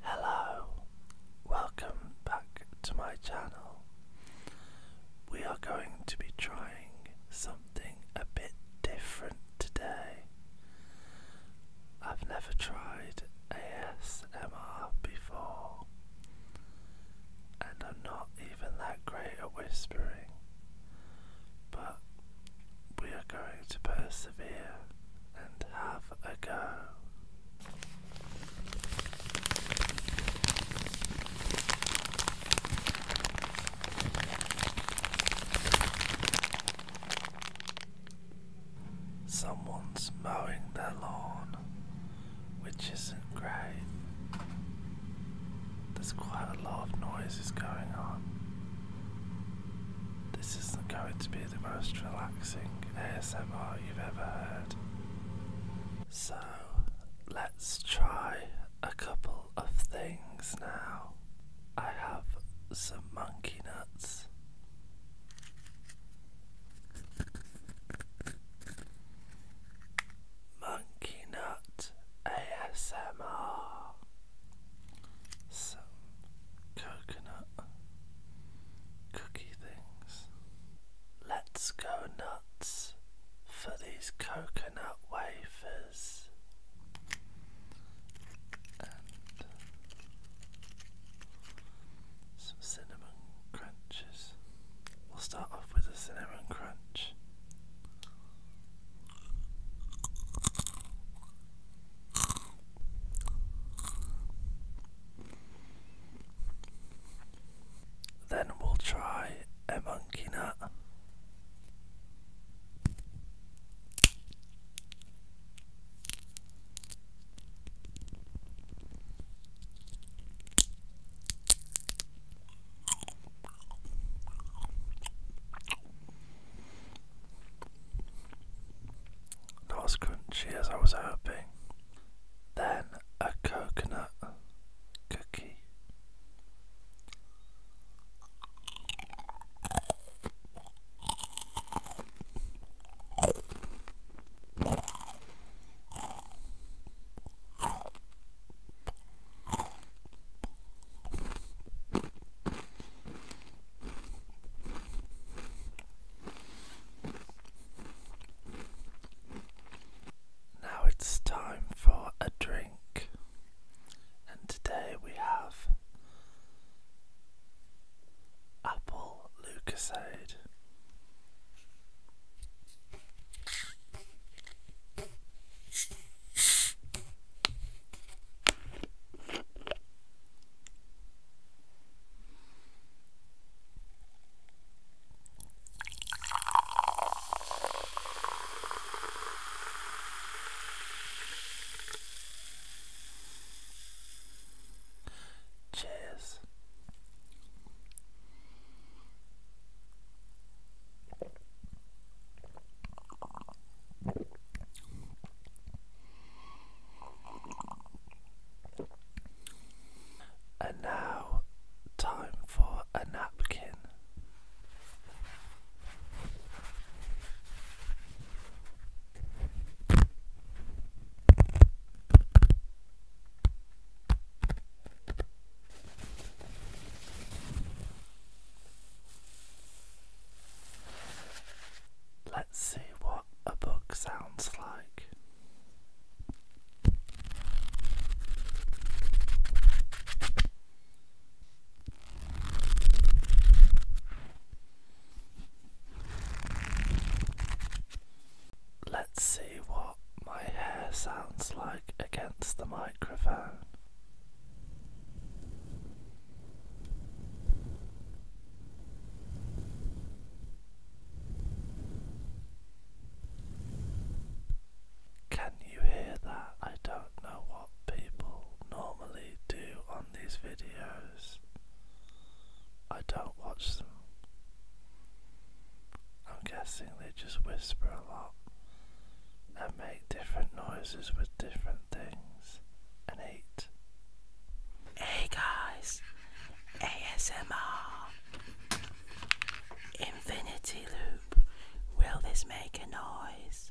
Hello, welcome back to my channel. We are going to be trying something a bit different today. I've never tried ASMR before, and I'm not even that great at whispering, but we are going to persevere and have a go. Someone's mowing their lawn which isn't great. There's quite a lot of noises going on. This isn't going to be the most relaxing ASMR you've ever heard. So, let's try a couple of things now. I have some monkey nuts. Monkey Nut ASMR. Some coconut cookie things. Let's go nuts for these coconut wafers. And some cinnamon crunch. We'll start off with a cinnamon crunch. Then we'll try a monkey nut. Not as crunchy as I was hoping. Then a coconut cookie. Now it's time for a drink, and today we have apple L Cheers. And now, time for a napkin. Let's see what a book sounds like. Let's see what my hair sounds like against the microphone. Can you hear that? I don't know what people normally do on these videos. I don't watch them I'm guessing they just whisper a lot and make different noises with different things and eat. Hey guys, ASMR Infinity Loop. Will this make a noise?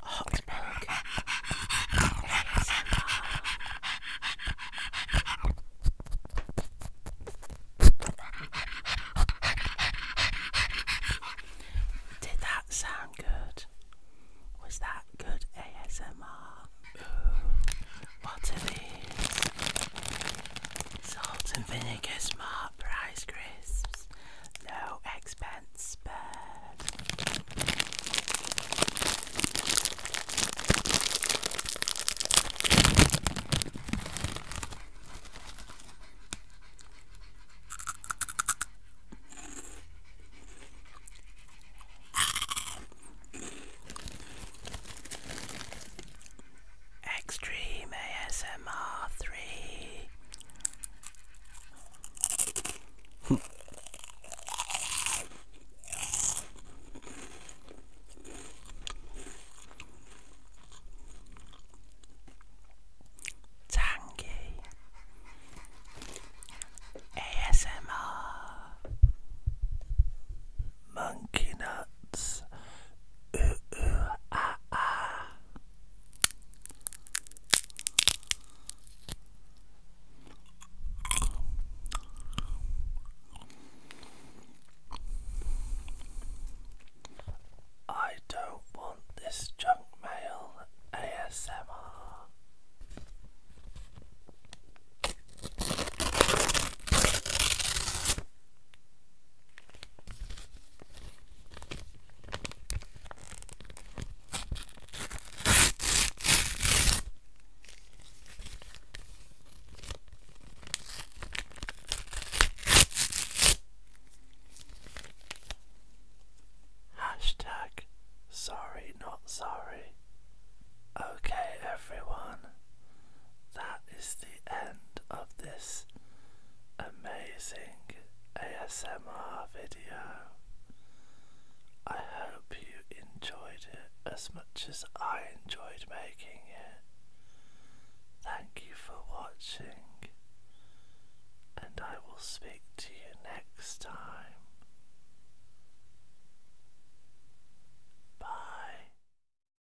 hot Did that sound good? Was that good ASMR? Ooh, what it is. Salt and vinegar smart prize crisps no expense spared. Extreme ASMR 3. Tangy ASMR Monkey Nuts Ooh ooh ah ah I don't want this junk mail ASMR. Hashtag sorry, not sorry. Okay, everyone, that is the end of this amazing ASMR video. I hope you enjoyed it as much as I enjoyed making it. Thank you for watching, and I will speak to you next time. Bye.